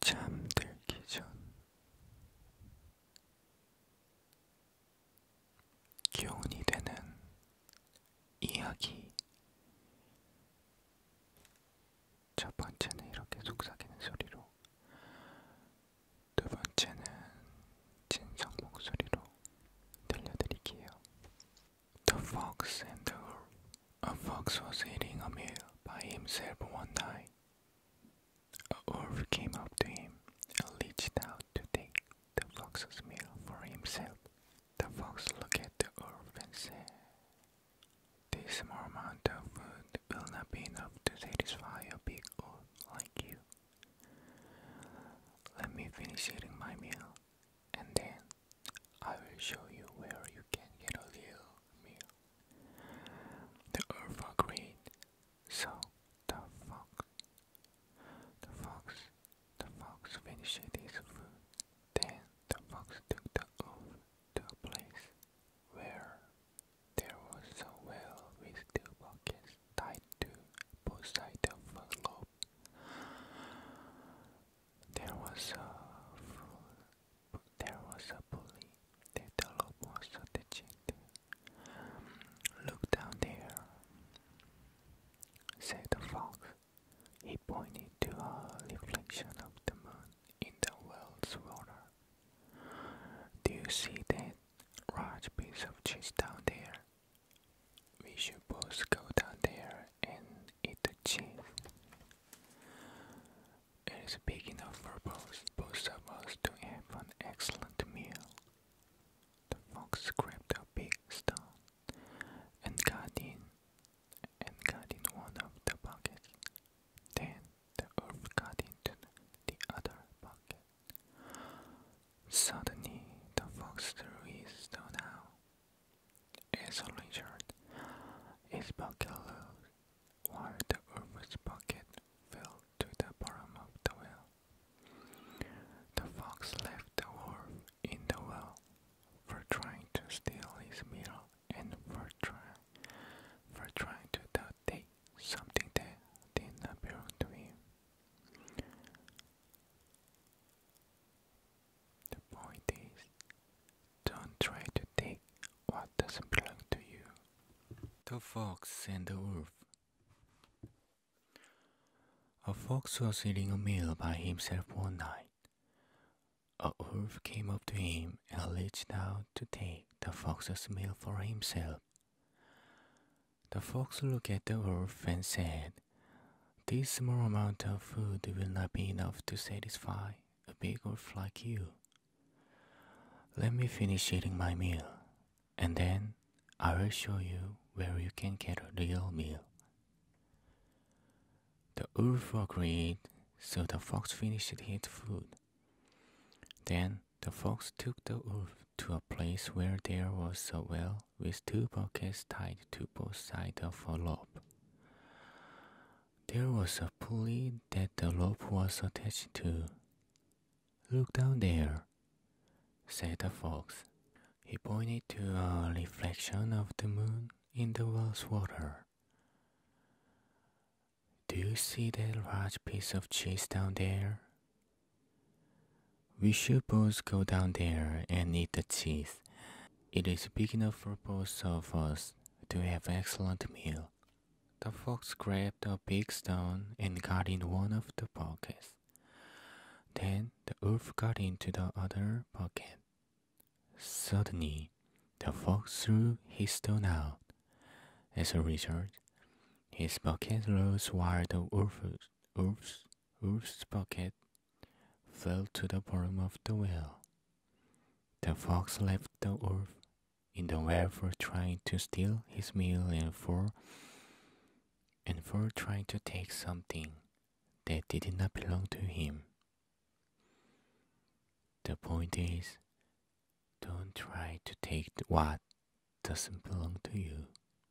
잠들기 전 교훈이 되는 이야기 첫 번째는 이렇게 속삭이는 소리로 두 번째는 진성 목소리로 들려드릴게요. The Fox and the A fox was eating a meal by himself one night. A wolf came up to him and reached out to take the fox's meal for himself. The fox looked at the wolf and said, This small amount of food will not be enough to satisfy a big wolf like you. Let me finish eating my meal and then I will show you where you can get a little meal. The earth are green, so the fox, the fox, the fox finished his food. Then the fox took the earth to a place where there was a well with two buckets tied to both sides of a lobe. There was a full there was a bully. The dollop was so dejected. Look down there, said the fox. He pointed to a reflection of the moon in the well's water. Do you see that large piece of cheese down there? We should both go down there and eat the cheese. It is big enough for both, both of us to have an excellent meal. The fox grabbed a big stone and got in and got in one of the buckets. Then the wolf got into the other bucket. Suddenly the fox threw his stone out a Richard is bucket loose, while the Urban's bucket fell to the bottom of the well. The fox left the wolf in the well for trying to steal his meal and for trying for trying to take something that did not belong to him. The point is, don't try to take what doesn't belong to you. The Fox and the Wolf a fox was eating a meal by himself one night. A wolf came up to him and reached out to take the fox's meal for himself. The fox looked at the wolf and said, this small amount of food will not be enough to satisfy a big wolf like you. Let me finish eating my meal, and then I will show you where you can get a real meal. The wolf agreed, so the fox finished his food. Then the fox took the wolf to a place where there was a well with two pockets tied to both sides of a rope. There was a pulley that the rope was attached to. Look down there, said the fox. He pointed to a reflection of the moon in the well's water. Do you see that large piece of cheese down there? We should both go down there and eat the cheese. It is big enough for both of us to have excellent meal. The fox grabbed a big stone and got in one of the pockets. Then the wolf got into the other pocket. Suddenly, the fox threw his stone out. As a result, his bucket rose while the wolf's Wolf's pocket fell to the bottom of the well. The fox left the wolf in the well for trying to steal his meal and for and for trying to take something that did not belong to him. The point is, don't try to take what doesn't belong to you.